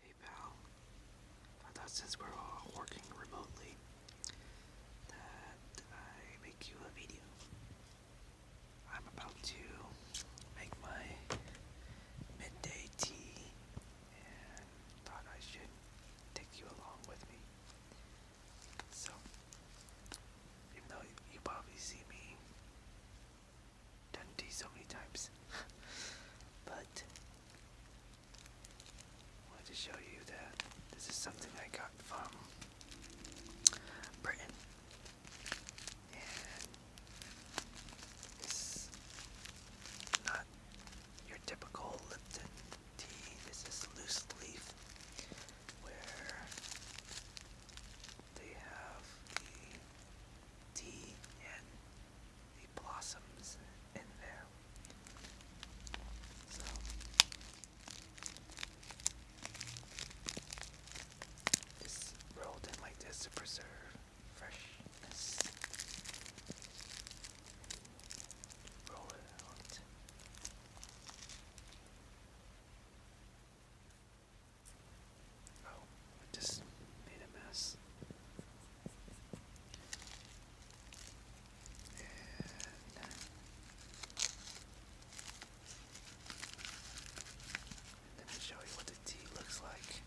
Hey pal, I thought since we're all working remotely that I make you a video. I'm about to make my midday tea and thought I should take you along with me. So, even though you probably see me done these so many times. but I wanted to show you that this is something I got from Britain. And it's not your typical Lipton tea. This is loose leaf where they have tea and the blossoms in there. So it's rolled in like this to preserve freshness. Roll it Oh, I just made a mess. Uh, let me show you what the tea looks like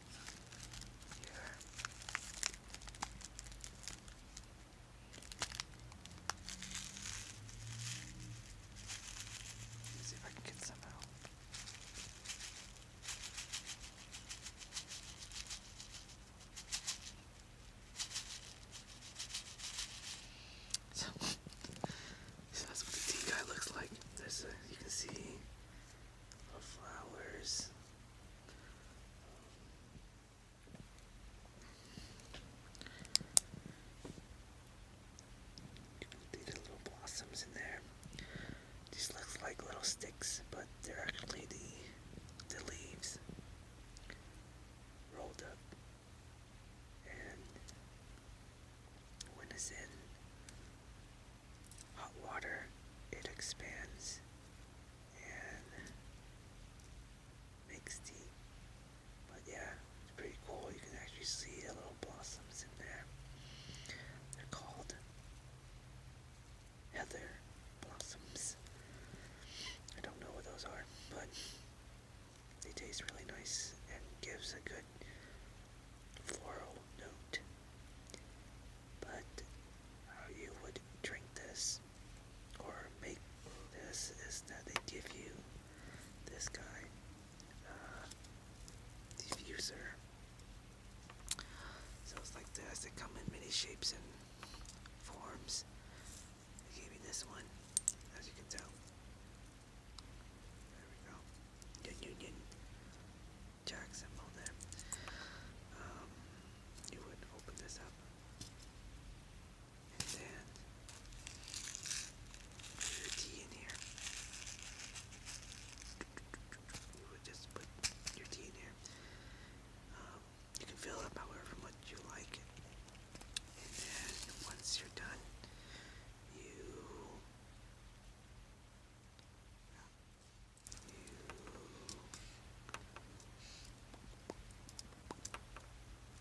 here. Let me see if I can get some out. So, that's what the tea guy looks like. you can see the flowers. These little blossoms in there. Just look like little sticks, but they're actually the the leaves rolled up. And when it's in hot water, it expands and makes the but yeah, it's pretty cool. You can actually see the little blossoms in there. They're called heather blossoms. I don't know what those are, but they taste really nice and gives a good floral note. But how you would drink this or make this is that they give you this guy, uh, diffuser. So it's like they come in many shapes and forms. They gave me this one, as you can tell. There we go. Yin Yin Jack symbol there. Um, you would open this up and then put your tea in here. You would just put your tea in here. you can fill up however much you like. And then once you're done, you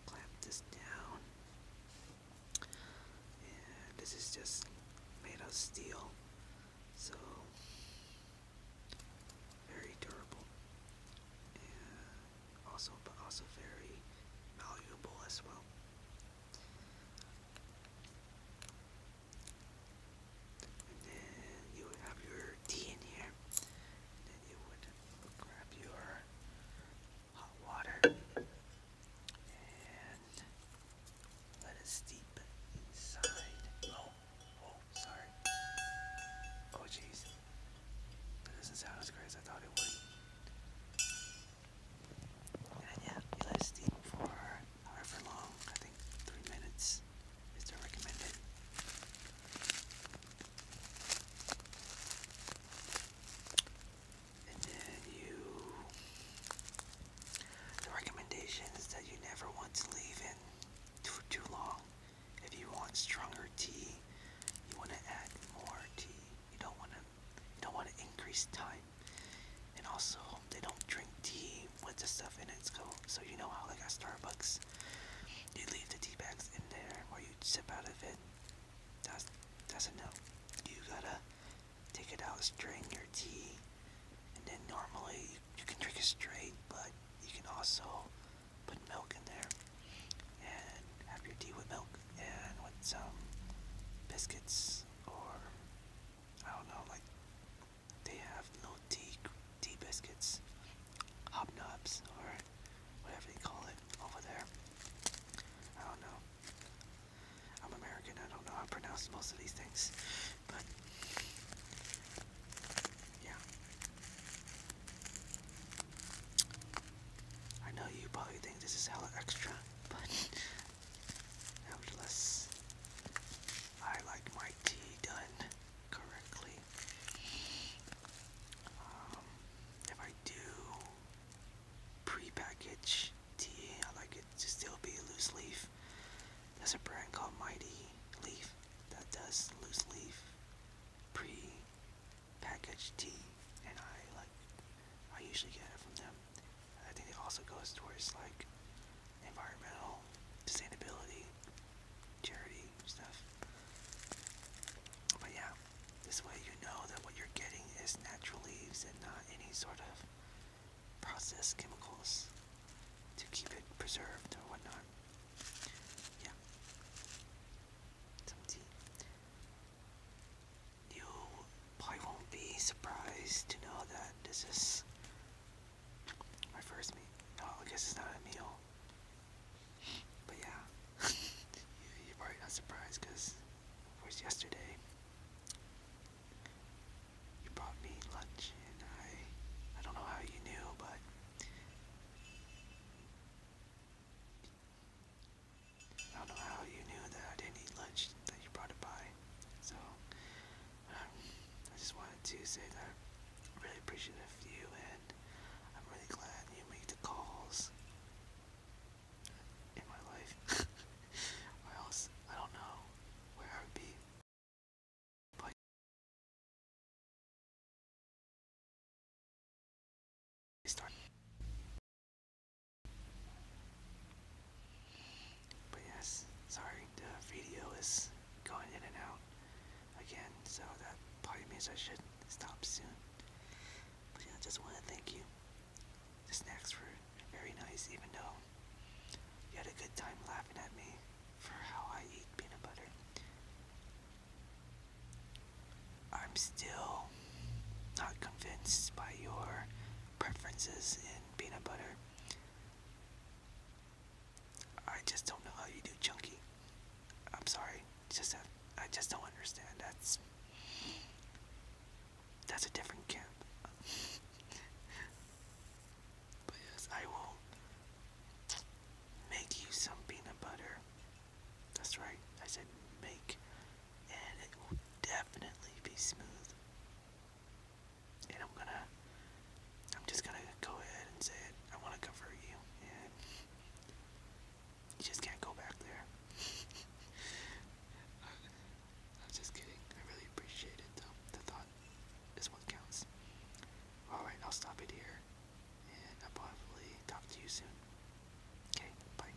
clamp this down. this is just made of steel, so very durable, and also also very valuable as well. And you have your tea in here then you would grab your hot water and let it steep inside. Oh, oh, sorry. Oh, jeez. That doesn't sound as great as I thought it would. And yeah, you let it steep for however long. I think three minutes is recommended. And The recommendation is that you never want to leave in for too long. If you want stronger tea, you want to add more tea. You don't want to. You don't want to increase time. And also, they don't drink tea with the stuff in it, so you know how like at Starbucks, you leave the tea bags in there or you sip out of it. That's doesn't know. You gotta take it out, strain your tea, and then normally you, you can drink it straight, but you can also put milk in there and have your tea with milk and with some biscuits or I don't know, like they have no tea, tea biscuits, hobnobs, or whatever they call it over there. I don't know. I'm American, I don't know how to pronounce most of these things. But, yeah. I know you probably think this is hella extra, but nevertheless, I like my tea done correctly. Um, if I do pre-package tea, I like it to still be loose leaf. There's a brand called Mighty Leaf that does loose leaf pre-packaged tea, and I like. I usually get it from them. I think it also goes towards like environmental sustainability charity stuff. But yeah, this way you know that what you're getting is natural leaves and not any sort of processed chemicals to keep it preserved or whatnot. Yeah. You probably won't be surprised to know that this is my first meal. No, I guess it's not a meal. But yeah, you're probably not surprised because it was yesterday. You brought me lunch, and I—I I don't know how you knew, but I don't know how you knew that I didn't eat lunch that you brought it by. So I just wanted to say that i really appreciate you and I'm really glad you make the calls in my life. or else I don't know where I would be. But yes, sorry, the video is going in and out again, so that probably means I should stop soon. But yeah, I just want to thank you. The snacks were very nice, even though you had a good time laughing at me for how I eat peanut butter. I'm still not convinced by your preferences in peanut butter. I just don't know how you do chunky. I'm sorry, just I just don't understand. That's that's a different camp. but yes, I will make you some peanut butter. That's right, I said make, and it will definitely be smooth and I'm gonna, I'm just gonna go ahead and say it. I want to convert you, and you just can't go back there. I'm just kidding. I really appreciate it, though. The thought is what counts. All right, I'll stop it here, and I'll probably talk to you soon. Okay, bye.